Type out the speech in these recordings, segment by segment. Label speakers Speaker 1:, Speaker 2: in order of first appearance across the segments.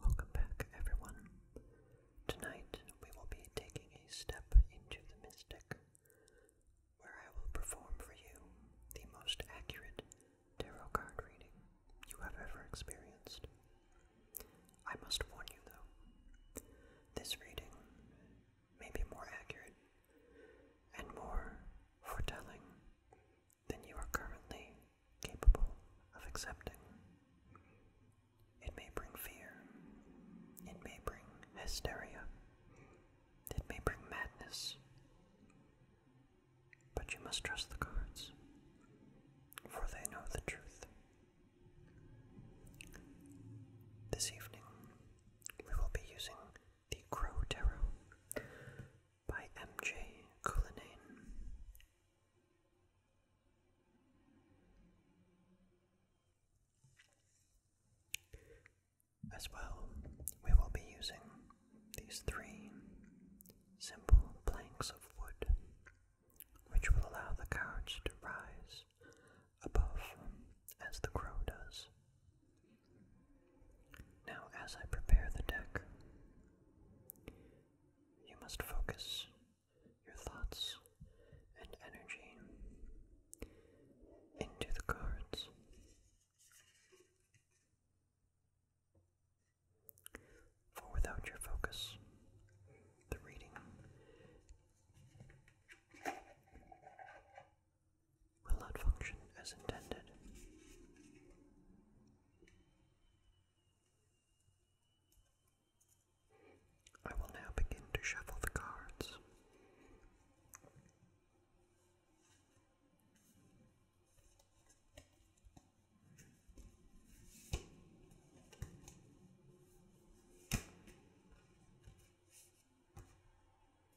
Speaker 1: Welcome back, everyone. Tonight we will be taking a step into the mystic, where I will perform for you the most accurate tarot card reading you have ever experienced. I must warn you, though, this reading may be more accurate and more foretelling than you are currently capable of accepting. It may bring fear. It may bring hysteria. It may bring madness. But you must trust the cards, for they know the truth. This evening, we will be using the Crow Tarot M.J. As well, we will be using these three simple planks of wood, which will allow the couch to rise above as the crow does now, as I prepare the deck, you must focus your thoughts and energy into the cards. For without your focus, the reading will not function as intended. I will now begin to shuffle the cards.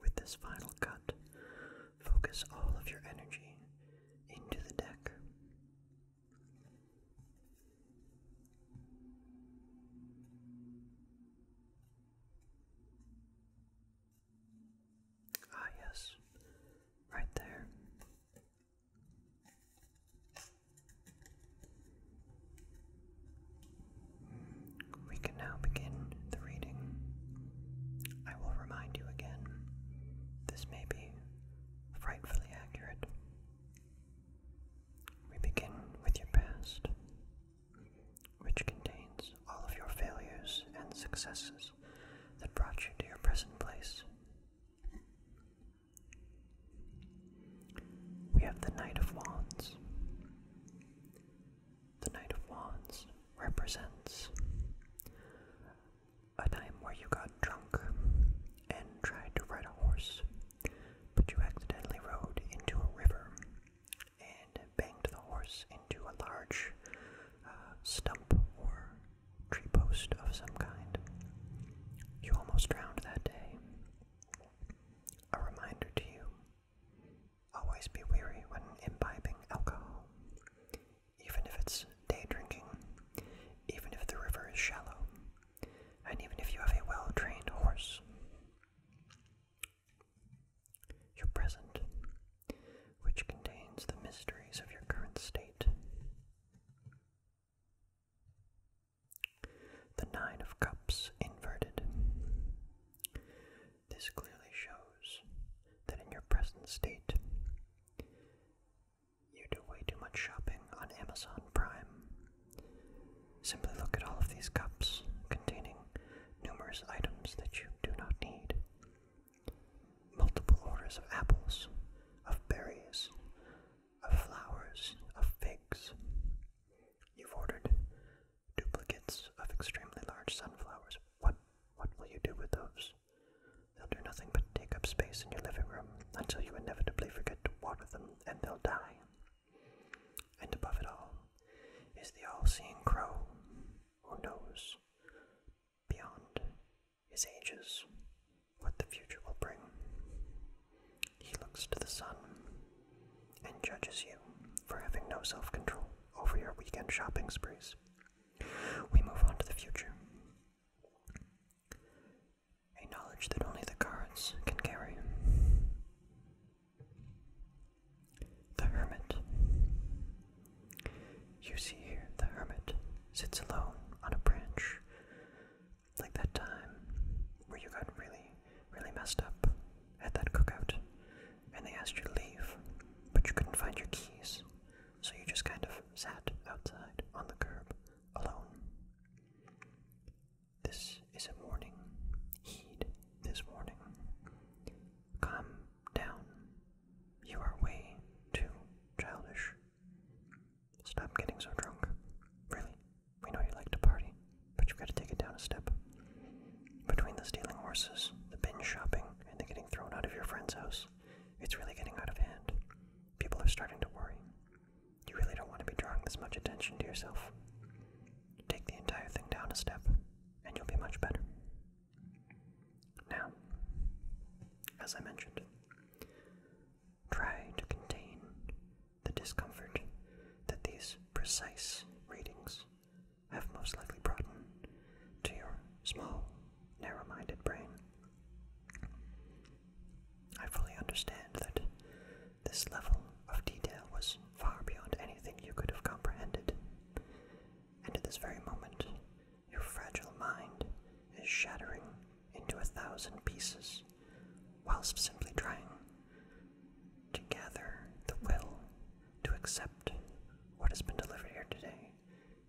Speaker 1: with this final cut, focus all of your energy into the deck. Ah, yes, right there. We can now begin the reading. I will remind you again, this may be frightfully accurate. We begin with your past, which contains all of your failures and successes that brought you to your present place. We have the Knight of Wands. The Knight of Wands represents a time where you got drunk and tried to ride a horse, but you accidentally rode into a river and banged the horse into a large uh, stump or tree post of some kind. You almost drowned that day. A reminder to you Always be wary when imbibing alcohol, even if it's day drinking, even if the river is shallow, and even if you have a well trained horse. Your present, which contains the mysteries of your current state. The Nine of Cups inverted. This clearly shows that in your present state, you do way too much shopping on Amazon Prime. Simply look at all of these cups containing numerous items that you do not need. Multiple orders of apples, of berries, of flowers, of figs, You've ordered duplicates of extremely large sunflowers. What what will you do with those? They'll do nothing but take up space in your living room until you inevitably forget to water them and they'll die. And above it all is the all seeing crow who knows beyond his ages what the future will bring. He looks to the sun and judges you for having no self control over your weekend shopping sprees. We move on to the future. A knowledge that only the cards can carry. The Hermit. You see here, the Hermit sits alone on a branch like that time where you got really, really messed up at that cookout, and they asked you to leave, but you couldn't find your keys, so you just kind of sat outside on the curb alone. This is a warning. Heed this warning. Calm down. You are way too childish. Stop getting so drunk. Really, we know you like to party, but you've got to take it down a step. Between the stealing horses, the binge shopping, and the getting thrown out of your friend's house, it's really getting out of hand. People are starting to worry. You really don't want to be drawing this much attention to yourself. Take the entire thing down a step, and you'll be much better. Now, as I mentioned, try to contain the discomfort that these precise readings have most likely brought to your small, narrow minded brain. I fully understand that this level of detail was far beyond anything you could have comprehended, and at this very moment, your fragile mind is shattering into a thousand pieces, whilst simply trying to gather the will to accept what has been delivered here today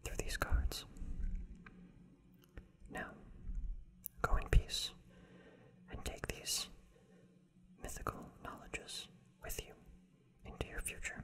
Speaker 1: through these cards. Now, go in peace and take these mythical knowledges with you into your future.